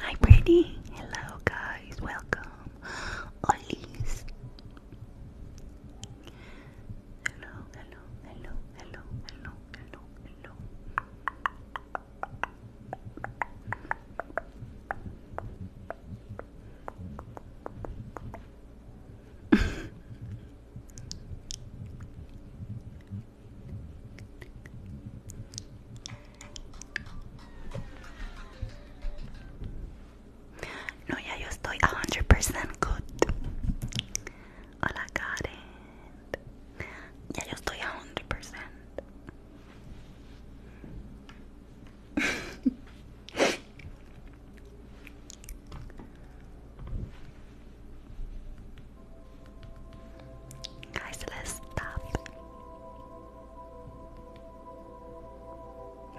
Hi, pretty. Hello, guys. Welcome. Ollie's. Hello, hello, hello, hello, hello, hello, hello. No, ya yo estoy a hundred percent good. I Karen. Ya yo estoy a 100%. Guys, let's stop.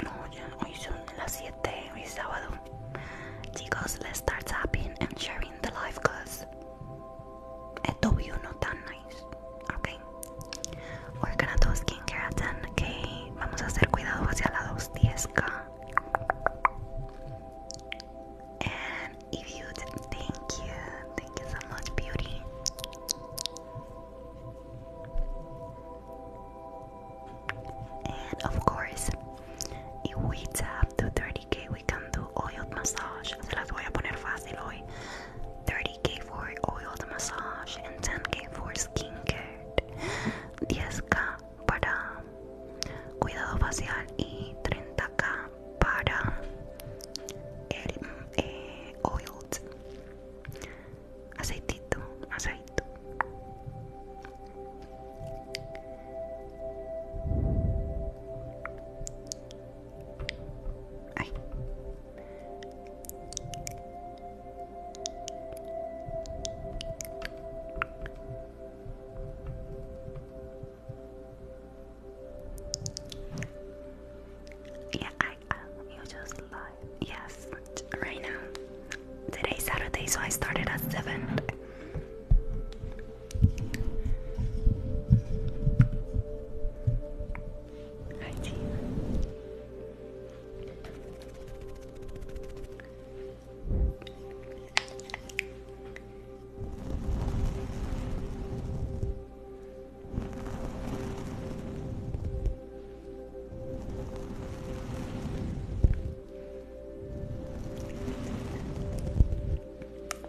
No, ya, hoy son las 7, hoy es sábado. let's start tapping and sharing the live cause W no tan nice. Ok. We're gonna do skincare at 10k. Vamos a hacer cuidado hacia la 210k. And if you did, thank you. Thank you so much, beauty. And of course, if we tap to 30k, we Can Oiled Massage. Se las voy a poner fácil hoy. 30k for oiled massage and 10k for skincare. 10k para cuidado facial y 30k para el eh, oiled aceitito, aceitito Yeah, I uh, you just live. Yes, right now. Today's Saturday, so I started at seven. Hi, team.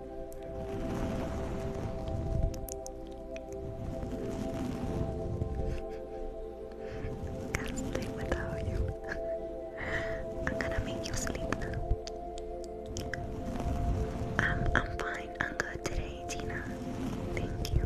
Can't sleep without you. I'm gonna make you sleep I'm um, I'm fine. I'm good today, Tina. Thank you.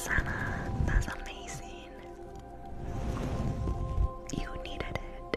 Buenas that's amazing. You needed it.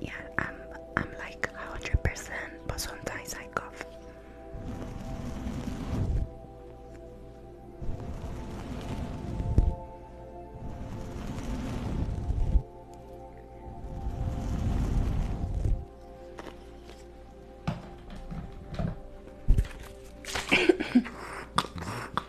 Yeah, I'm I'm like hundred percent, but sometimes I cough.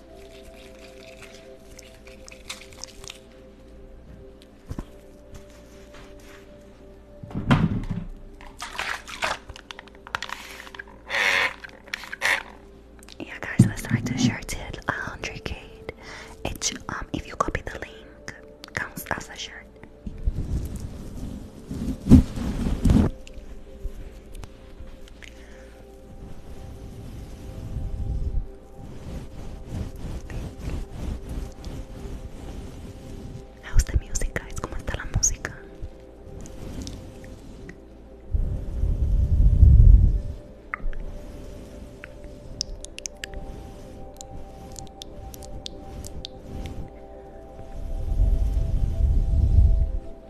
Yeah, guys, let's try to share till 100k. It um, if you copy the link, counts as a shirt. How's the music, guys? ¿Cómo está la música?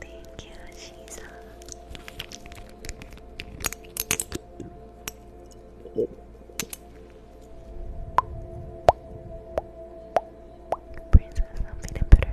Thank you, Shiza. Princess, I'm feeling better.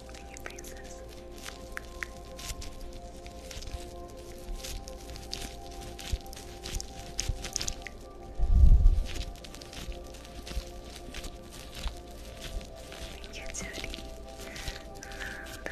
Thank you, princess. Thank you, Judy. Amanda.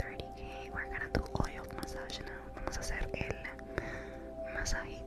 30k. We're gonna do oil massage now. Vamos a hacer el masajito.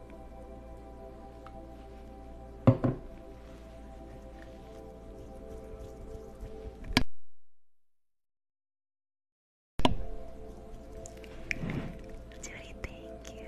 Judy, thank you.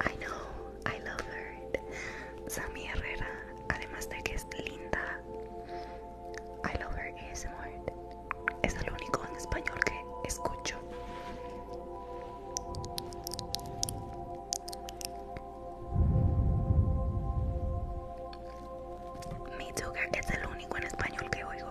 I know, I love her. Sammy Herrera, además de que es linda. I love her smart. Es el único en español que escucho. Mi Sugar es el único en español que oigo.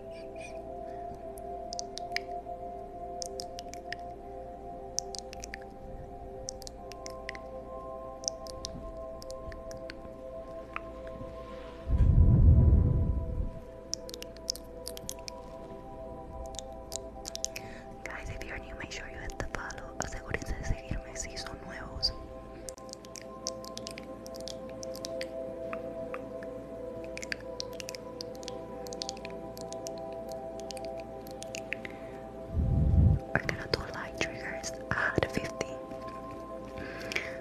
Guys, if you're new, make sure you hit the follow. Asegúrense de seguirme si son nuevos. We're gonna do light triggers at ah, 50.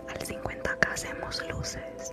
Al 50k hacemos luces.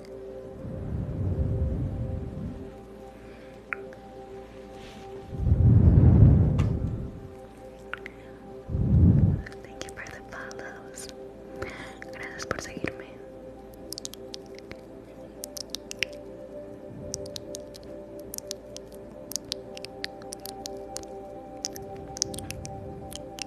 Thank you for the follows. Gracias por seguirme.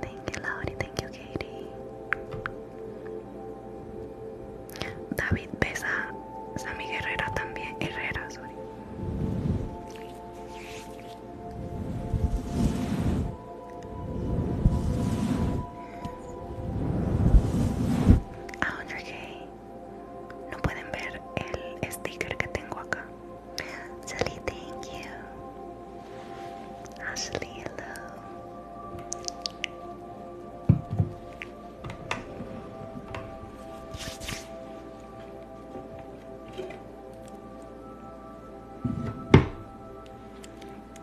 Thank you, Laurie. Thank you, Katie. David besa a Sammy Herrera también. Herrera, sorry. Audrey ah, No pueden ver el sticker que tengo acá. Sally, thank you. Ashley, hello.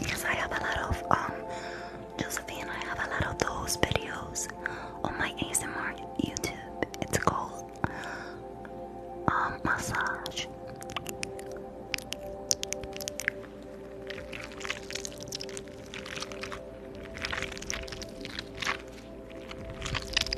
Yes, I have a lot of um Josephine, I have a lot of those videos on my ASMR YouTube. It's called um massage.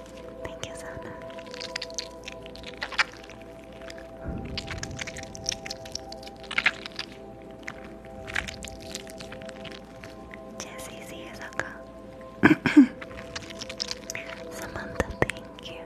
Thank you, Sana. Jesse's ears are gone. Samantha, thank you.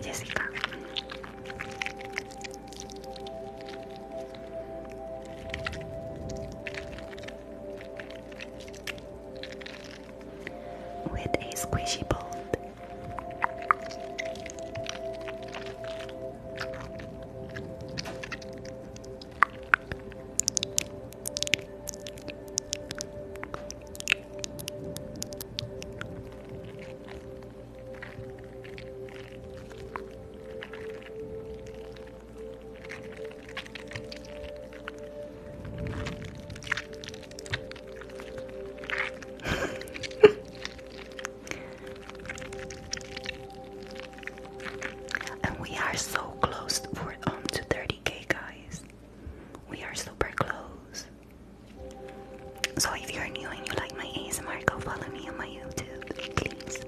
Jessica. With a squishy ball and we are so close for um to 30k guys. We are super close. So if you're new and you like my ASMR, go follow me on my YouTube, please.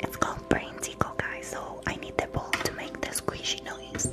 It's called brain tickle, guys. So I need the ball to make the squishy noise.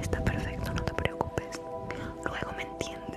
Está perfecto, no te preocupes. Luego me entiendes.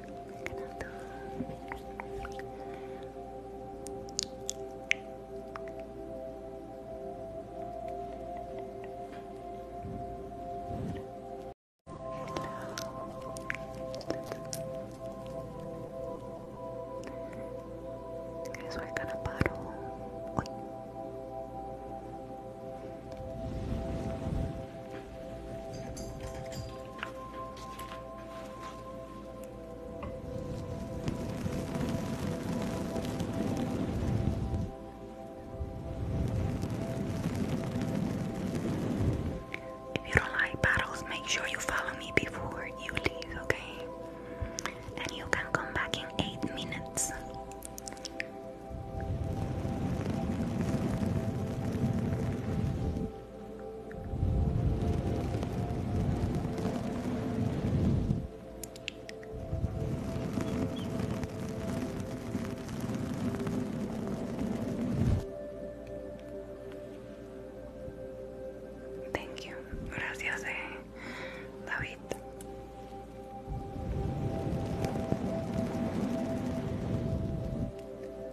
Guys, we're gonna bottle. If you don't like battles, make sure you follow me before you leave, okay? And you can come back in eight minutes. Thank you. Gracias, eh, David.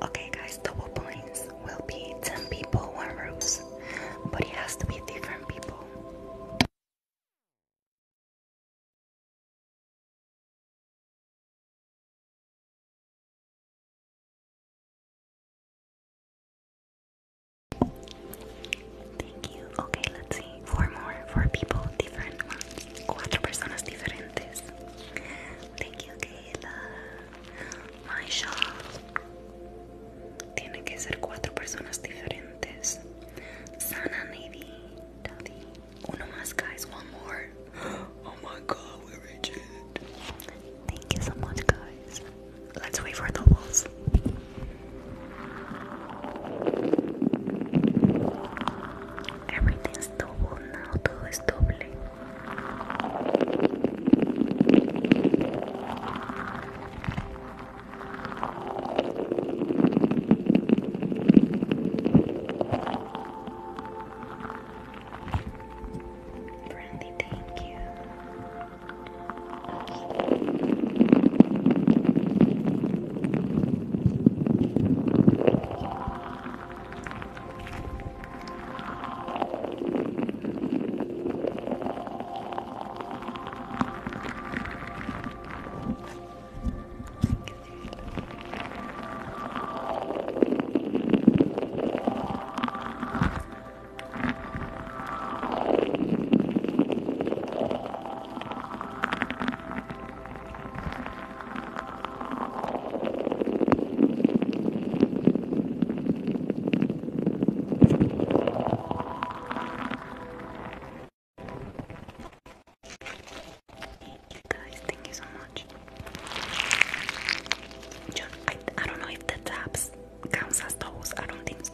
Okay, guys, double points will be 10 people, one rose, but it has to be different people. Thank you. Okay, let's see. Four more. Four people, different ones. Cuatro personas diferentes. Thank you, Kayla. My Tiene que ser cuatro personas diferentes. Sana, maybe. Daddy. Uno guys. One more. Oh my god, we're rigid. Thank you so much, guys. Let's wait for doubles. Everything's double now, todo es doble. Brandy, Thank you guys, thank you so much. I, don't know if the taps counts as toes. I don't think so.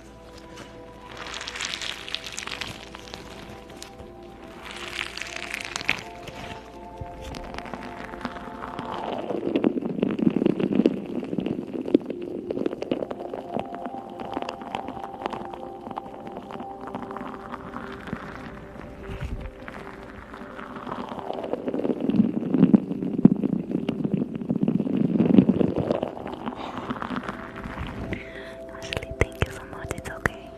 Ashley, thank you so much. It's okay.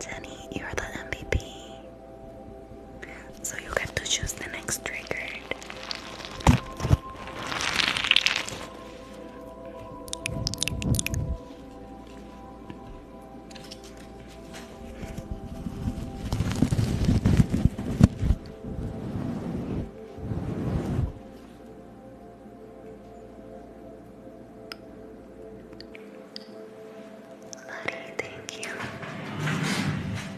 Jenny, you're the MVP. So you get to choose the next trigger. Lottie, thank you.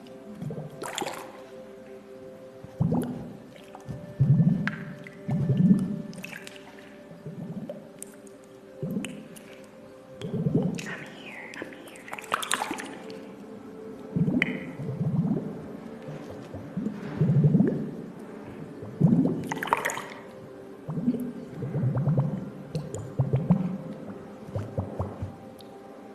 I'm here, I'm here.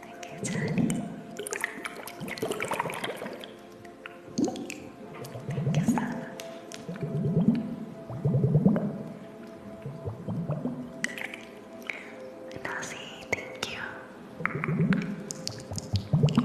Thank you, Thank you, Sana. Nazi, thank you. thank you. Thank you,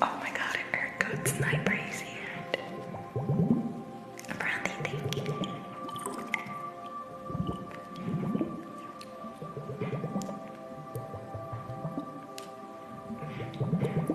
Oh my god, I heard good sniper is here. Brandy, thank you. thank you.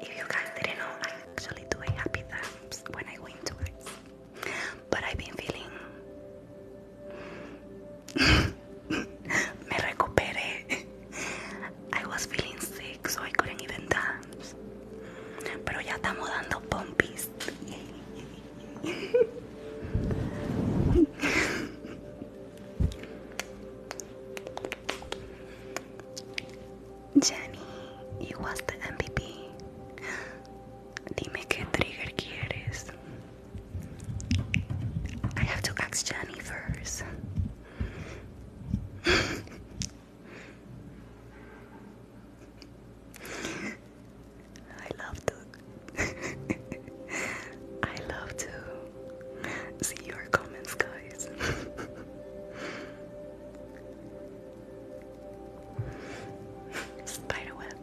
if you guys didn't know, I actually do happy dance when I win twice. But I've been feeling. Me recuperé. I was feeling sick, so I couldn't even dance. Jenny, you was the MVP. Dime qué trigger quieres. I have to ask Jenny first. I love to I love to see your comments guys Spiderweb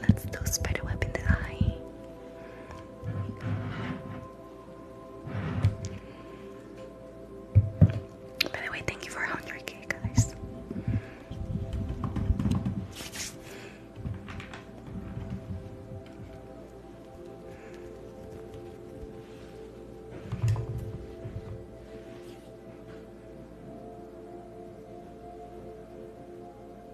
Let's do spiderweb in the eye. By the way, thank you for 100k, guys.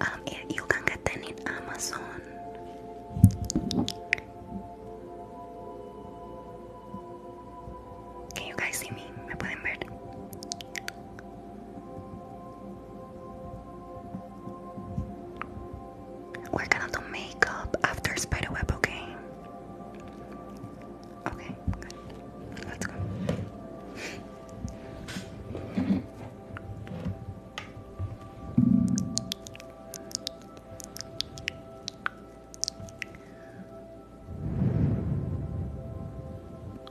Um, you can get them in Can you guys see me? ¿Me pueden ver? We're gonna do makeup after spiderweb, okay? Okay, Let's go.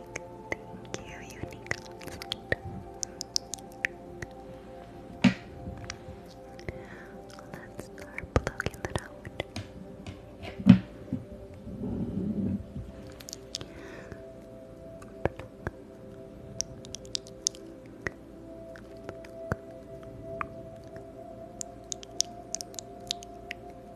Thank you, unique. Let's start plugging that out.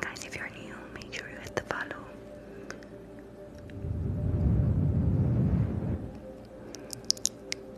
Guys, if you're new, make sure you hit the follow.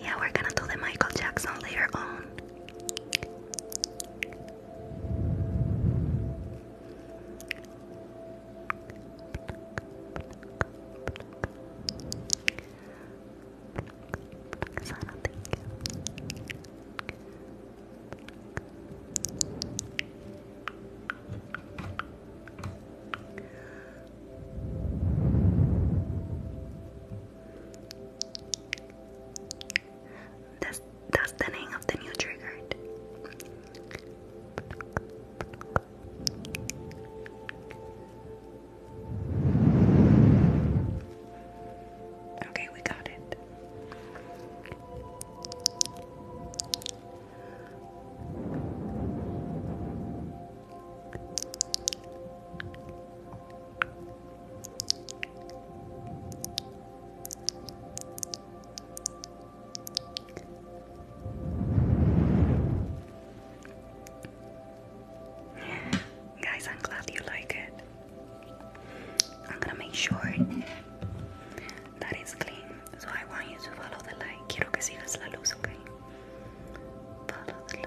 Yeah, we're gonna do the Michael Jackson later on. Sana, thank you. the name of the new triggered. Okay, we got it. Guys, I'm glad you like it. I'm gonna make sure that it's clean. So I want you to follow the light. Quiero que sigas la luz, okay? Follow the light.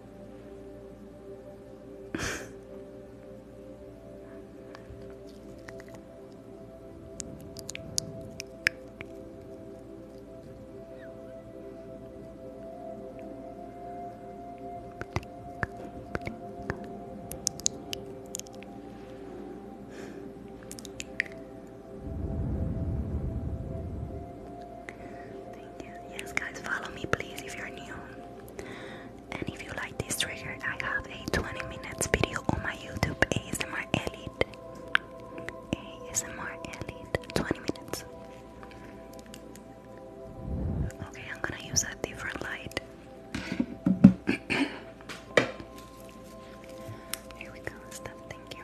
Yes, guys, follow me, please, if you're new. And if you like this trigger, I have a 20 minutes video on my YouTube ASMR Elite. ASMR Elite, 20 minutes. Okay, I'm gonna use a different light. Here we go, stop, thank you.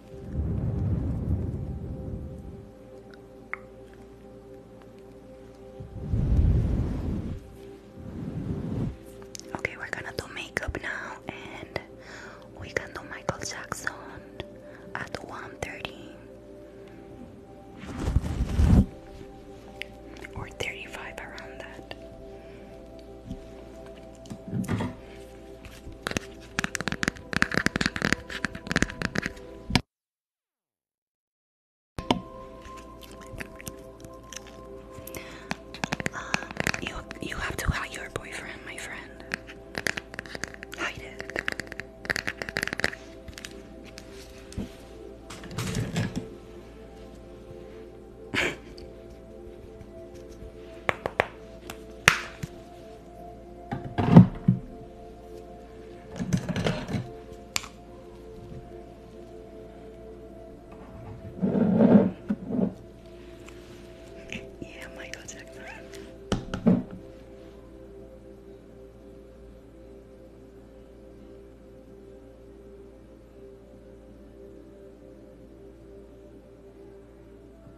Okay, we're gonna do makeup now, and we can do Michael Jackson at 1:30 or 35 around that. Um, you you have to hide your boyfriend, my friend. Hide it. Yeah, Michael Jackson.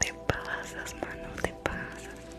Te pasas, mano, te passas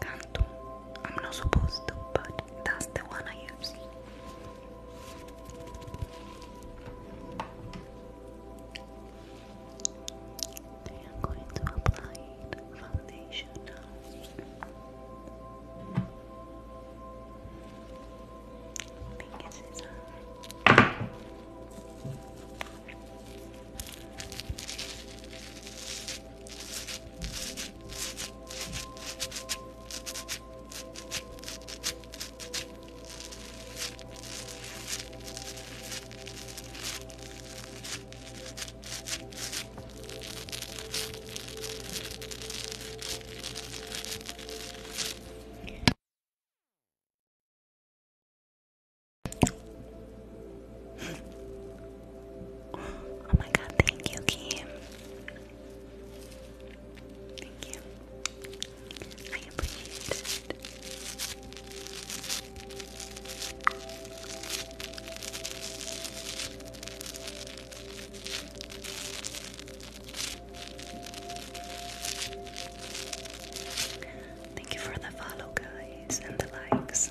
Canto. I'm not supposed to, but that's the one I use. They are going to apply foundation now. Pink scissors. Now Oh my god, thank you, Kim. Thank you. I appreciate it. Thank you for the follow, guys, and the likes.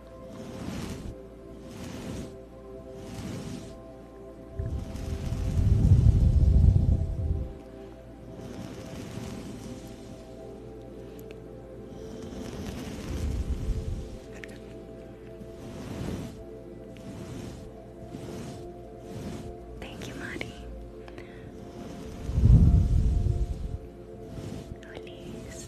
Thank you, Mari. Please.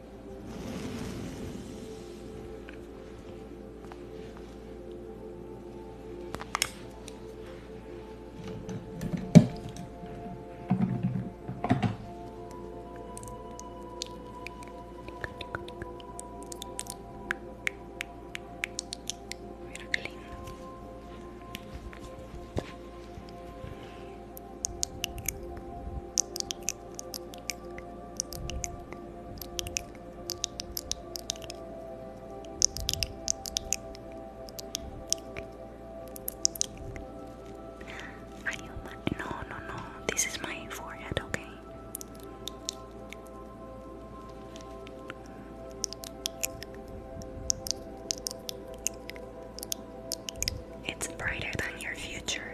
Mira qué lindo. Are you my no no no this is my forehead okay it's brighter than your future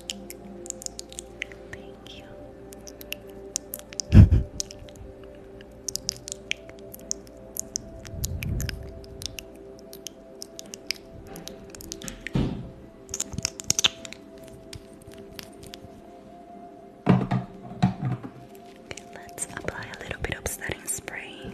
Thank you. let's apply a little bit of setting spray.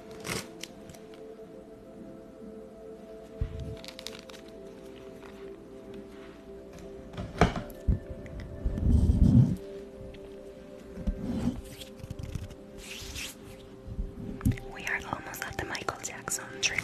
We are almost at the Michael Jackson triggered.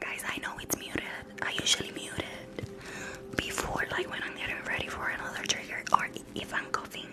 Guys, I know it's muted. I usually mute it before, like when I'm getting ready for another trigger or if I'm coughing.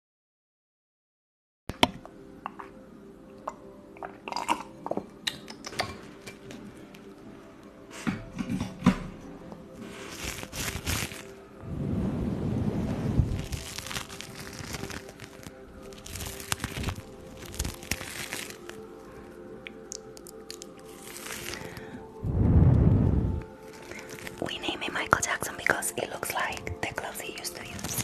We name it Michael Jackson because it looks like the gloves he used to use.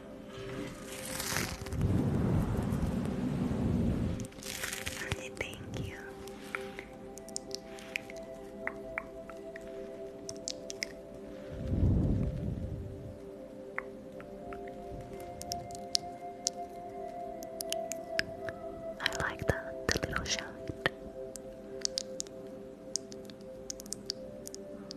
Honey, thank you. I like that, the little shot.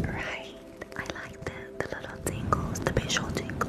Right, I like the, the little tingles, the visual tingles.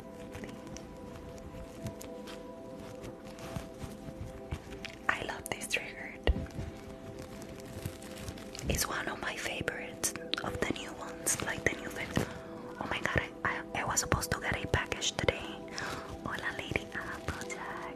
I love this triggered. It's one of my favorites of the new ones, like the new things. Oh my god, I, I, was supposed to get a package today. Hola, Lady Applejack.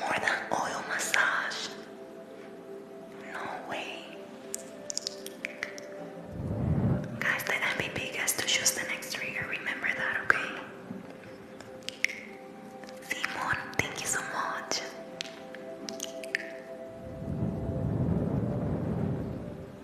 More than oil massage. No way. Guys, the MVP gets to choose the next trigger. Remember that, okay? Simon, thank you so much.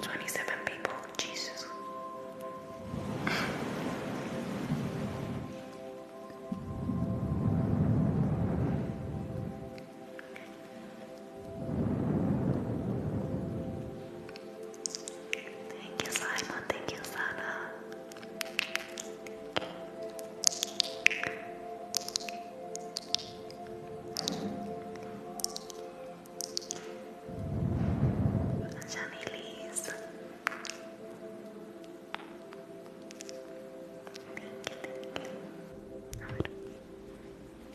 Twenty-seven people, Jesus. Thank you, Simon. Thank you, Sana. Johnny Lee's. thank you.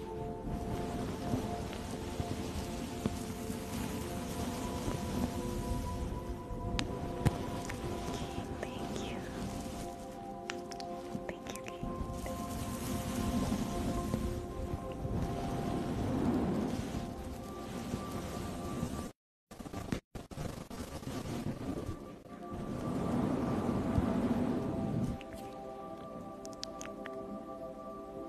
Thank you. Thank you, Kate. Thank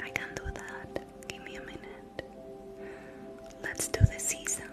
I can do that. Give me a minute. Let's do the sea sound.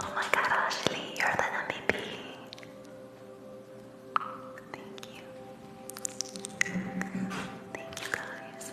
Oh my god, Ashley, you're the MVP. Thank you. Thank you guys.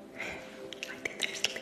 I think they're sleepy.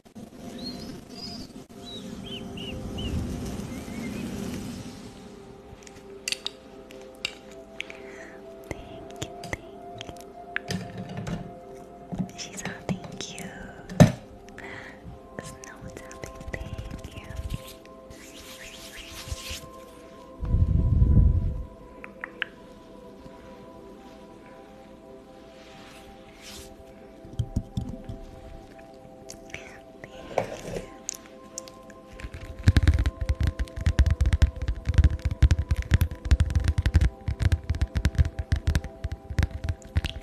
you. She's not thank you. Snow tapping, thank you.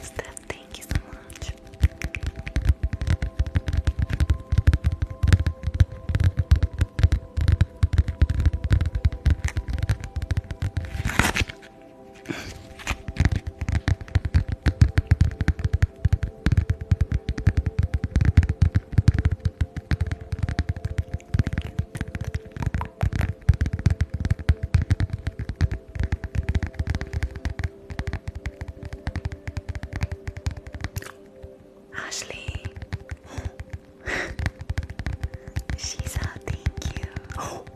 Steph, thank you so much. Ashley. She's out, thank you.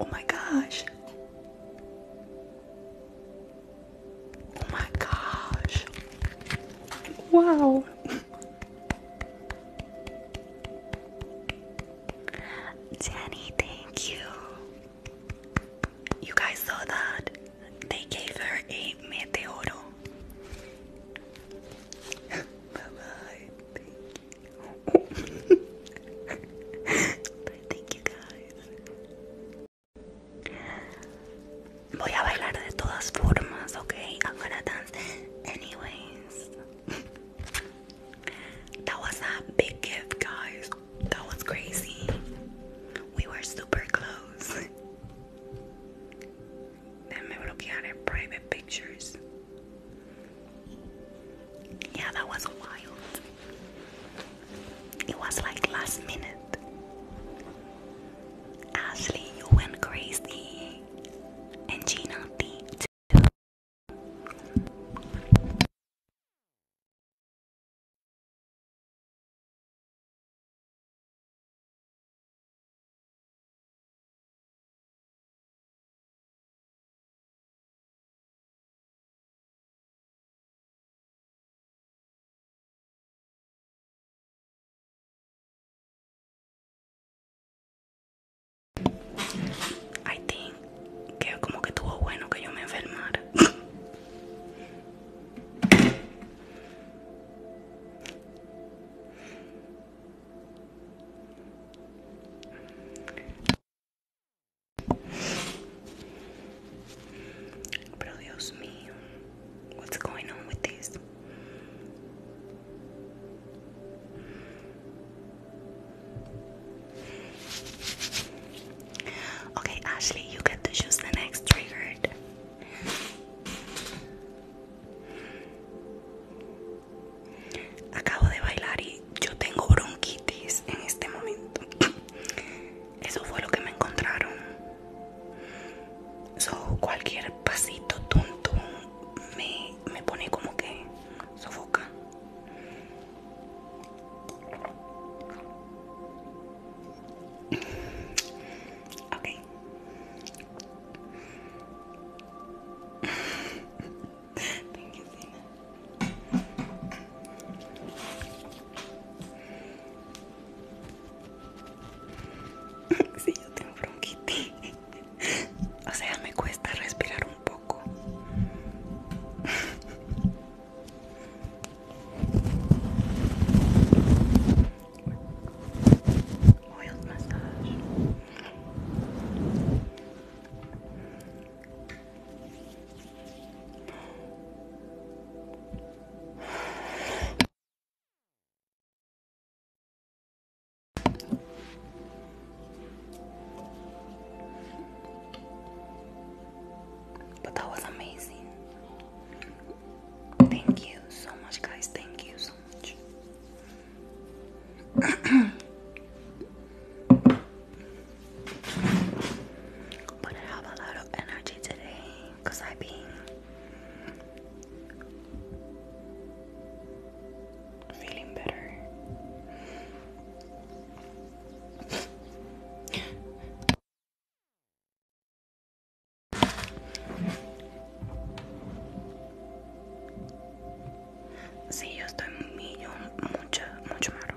Oh my gosh. Oh my gosh. Wow. Danny, thank you. You guys saw that? They gave her a meteoro. bye bye. But thank you guys. I'm gonna dance anyways. that was a big gift, guys. That was crazy. We were super close. Déjame bloquear en private pictures. Yeah, that was wild. It was like last minute. Ashley, you went crazy. And Gina I think que como que tuvo bueno que yo me enfermara. Pero Dios what's going on with this? Okay, Ashley, you get to choose the next triggered. Acabo de bailar y yo tengo bronquitis en este momento. Eso fue lo que me encontraron. So, cualquier pasito tonto me, me pone como que sofoca. Ok. Sí, yo tengo bronquitis. O sea, me cuesta respirar un poco. Oil massage. But that was amazing. Thank you so much, guys. Thank you so much. But I have a lot of energy today because I've been feeling better. Sí, yo estoy muy, mucho, mucho malo.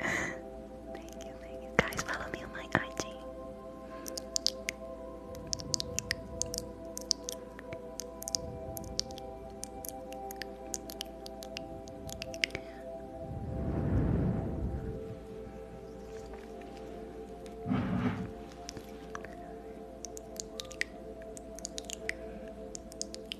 thank you, Guys, follow me on my IG.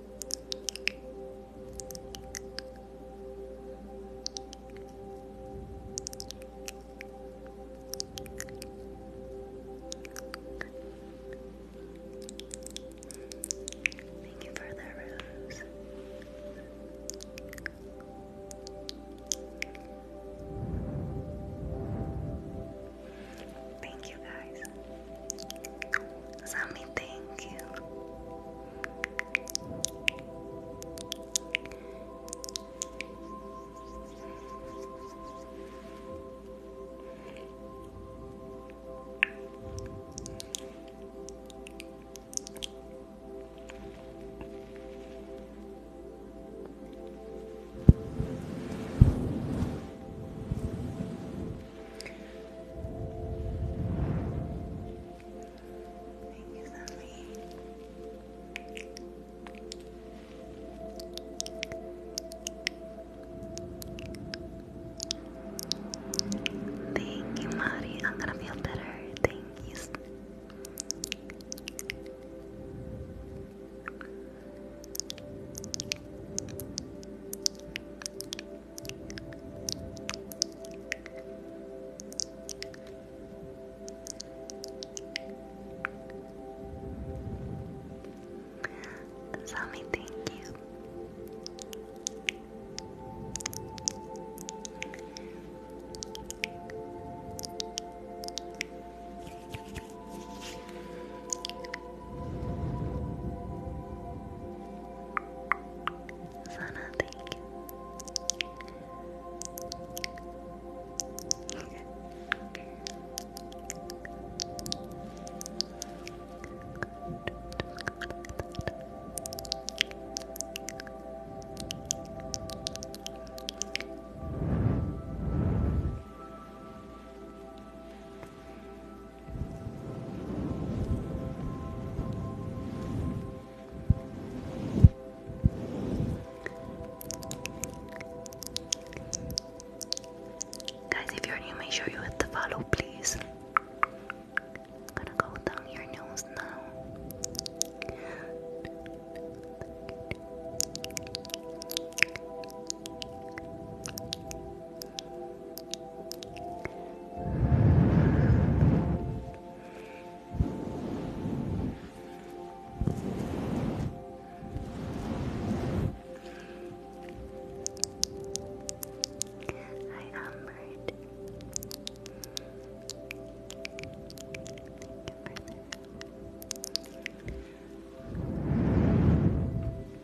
Thank you for the rose. Thank you guys. Sammy, thank you. Thank you, Zombie. Thank you, Mari. I'm gonna feel better. Thank you. Sammy, thank you. Sana, thank you. Guys, if you're new, make sure you hit the follow, please. gonna go down your nose now. Hi, Albert. Thank you for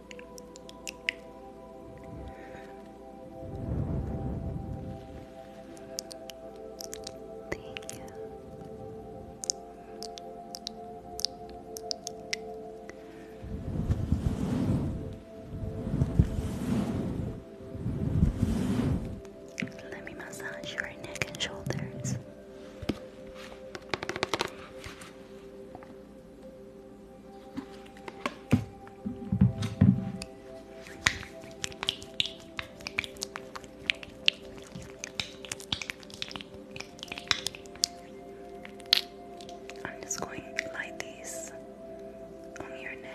Let me massage your neck and shoulders. I'm just going to light these on your neck.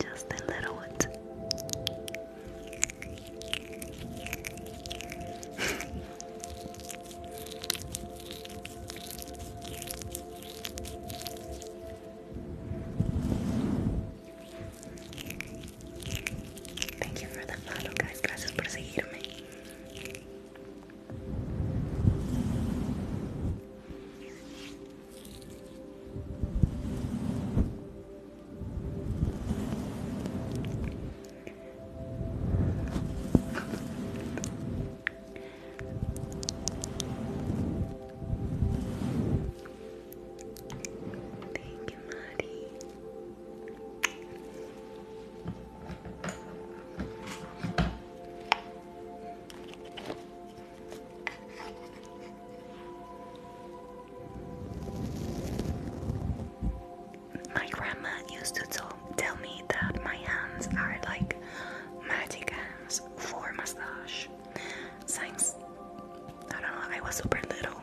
Just the little ones. Thank you for the follow, guys. Gracias por seguirme. Thank you, Maddie. My grandma used to tell me that my hands are like magic hands for massage. Since I don't know, I was super little.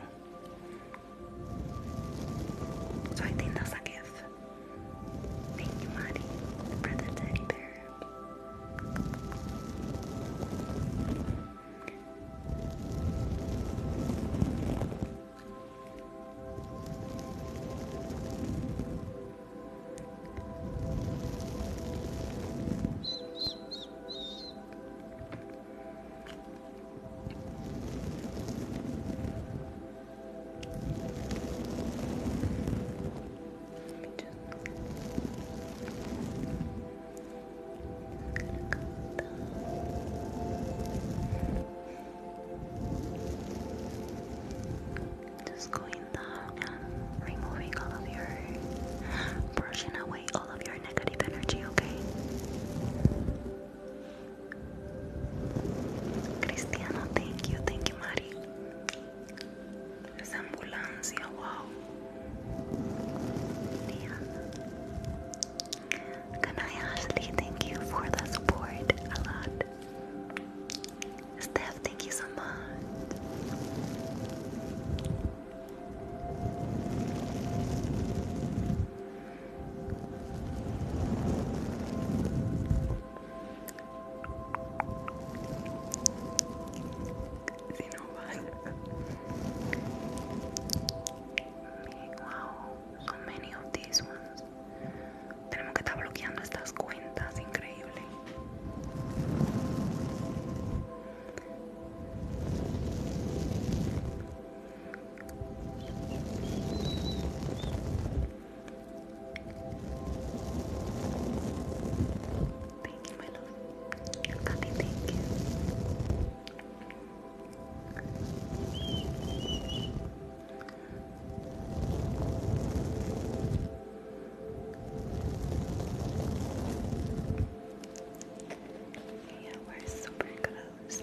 So I think that's a gift. Thank you, Maddie, for the teddy bear just going down removing all of your brushing away oh, Cristiano, thank you, thank you, Mari. ambulancia, wow. Diana. Thank you for the support a lot. Steph, thank you so much. Si no Wow, so many of these ones Tenemos que estar bloqueando estas cuentas, increíble Thank you, my love. Copy, thank you. Yeah, we're super close.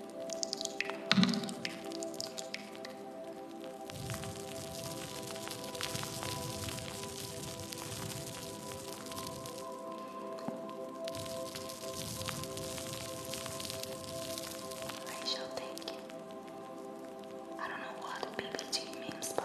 I shall you. I don't know what BBG means, but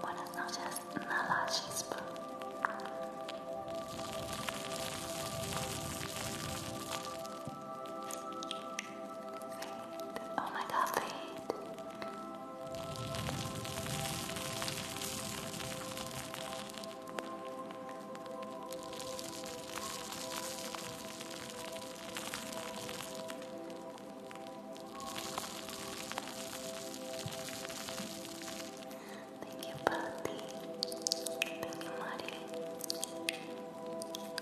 Buenas noches, Nala Chispa. Oh my god, Fade. Thank you, Patty. Thank you, Maddie.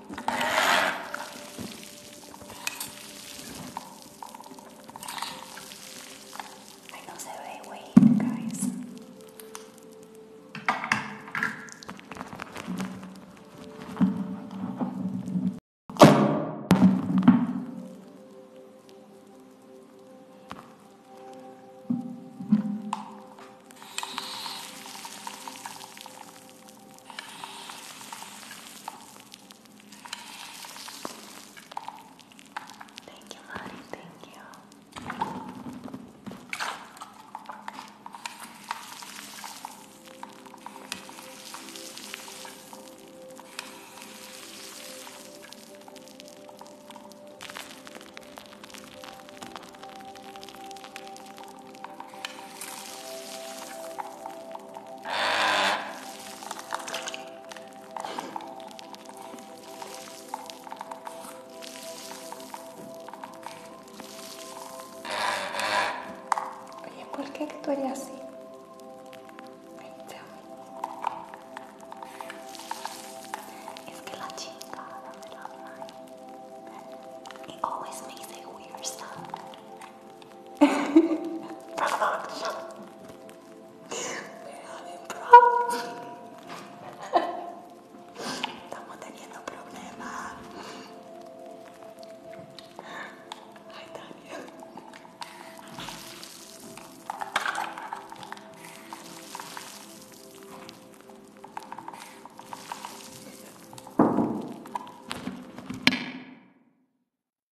I know that I wait, guys. Thank you, Lottie. Thank you. Oye, ¿por qué actuaría así? Ay, es it always makes a weird sound. Perdón. Estamos teniendo problemas. Ay, Daniel!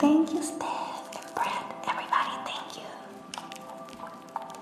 Thank you, Steph and Brad. Everybody, thank you.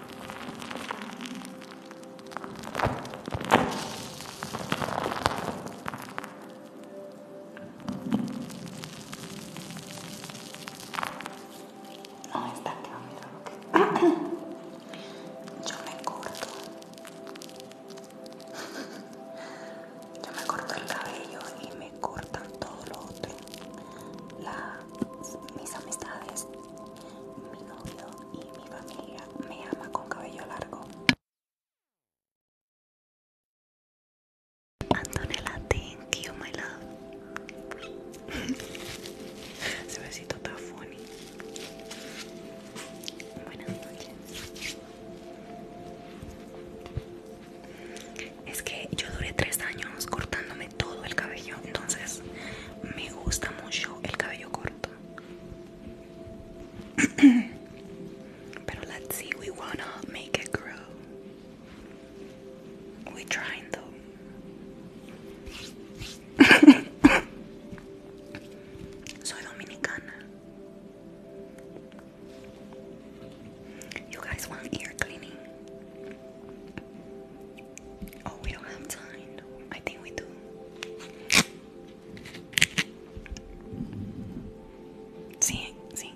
No está mirar lo que... Yo me corto. Yo me corto el cabello y me cortan todo lo otro. La mis amistades, mi novio y mi familia me ama con cabello largo. Antonella, thank you, my love. Se besito está funny. Buenas noches. Es que yo duré tres años cortándome todo el cabello entonces me gusta mucho el cabello corto pero let's see we wanna make it grow we trying though soy dominicana you guys want ear cleaning Oh, we don't have time. I think we do. See, see.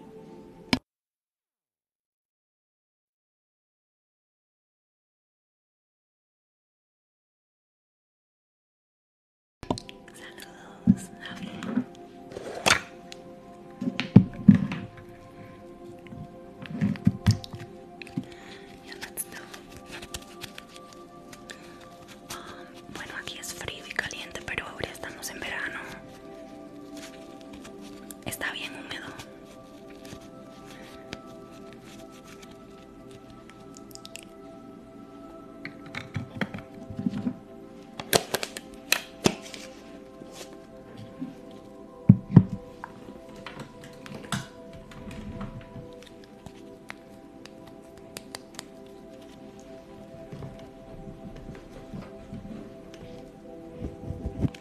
Ah, bueno, aquí es frío y caliente, pero ahora estamos en verano. Está bien húmedo.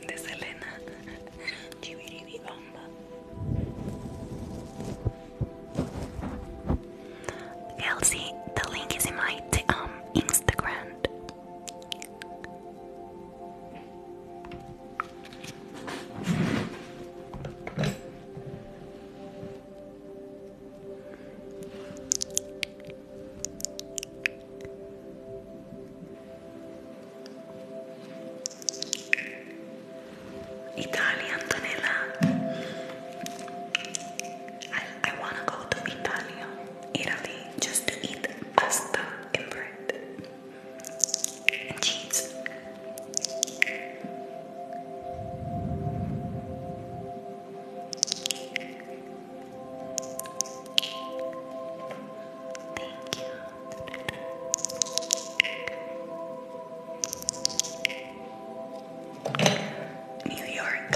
de Selena Elsie, the link is in my um, Instagram Italy, Antonella. I, I want to go to Italy, Italy, just to eat pasta and bread. Jeez. Thank you. New York.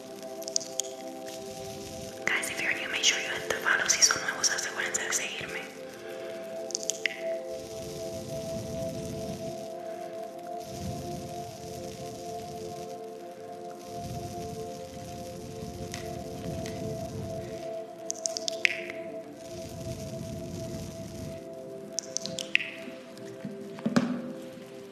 Guys, if you're new, make sure you hit the follow. Si son nuevos, asegúrense de seguirme.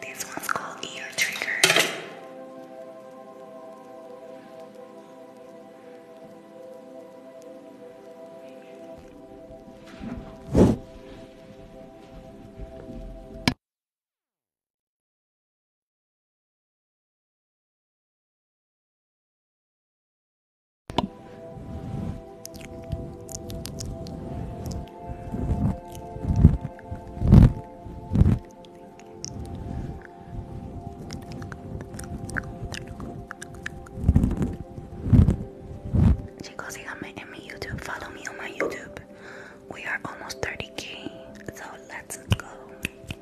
This one's called Ear Trigger. Chicos, síganme en mi YouTube. Follow me on my YouTube. We are almost 30k, so let's go.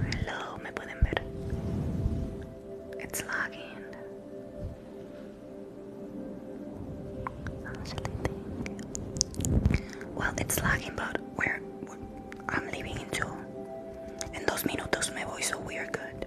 Hello, me pueden ver. It's lagging. Well, it's lagging, but we're, we're I'm leaving in two. En dos minutos me voy, so we are good.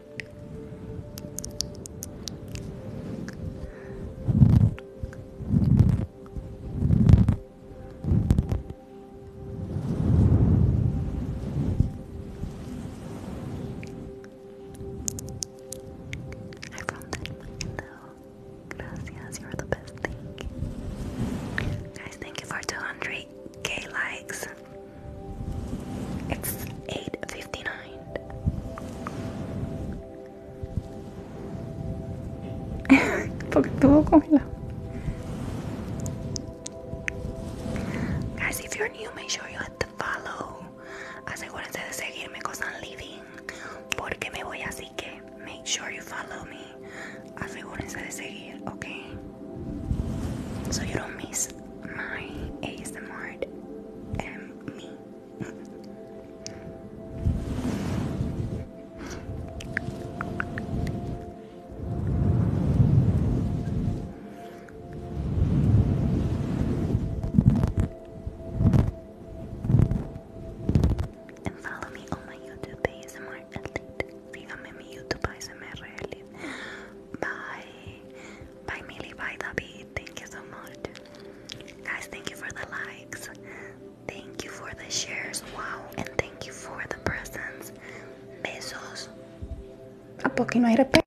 I found that though. Gracias, you're the best thing. Guys, thank you for 200k likes. It's 8:59. Porque estuvo congelado. Guys, if you're new, make sure you hit the follow. Asegúrense de seguirme because I'm leaving. Porque me voy, así que make sure you follow me. Asegúrense de seguir, okay? So you don't miss is my ASMR and me. and follow me on my YouTube ASMR Elite. Síganme en mi YouTube ASMR Elite. Bye by Millie by the Beat. Thank you so much. Guys, thank you for the likes. Thank you for the shares. Wow. And thank you for the presents. Besos. ¿A poco no hay repe?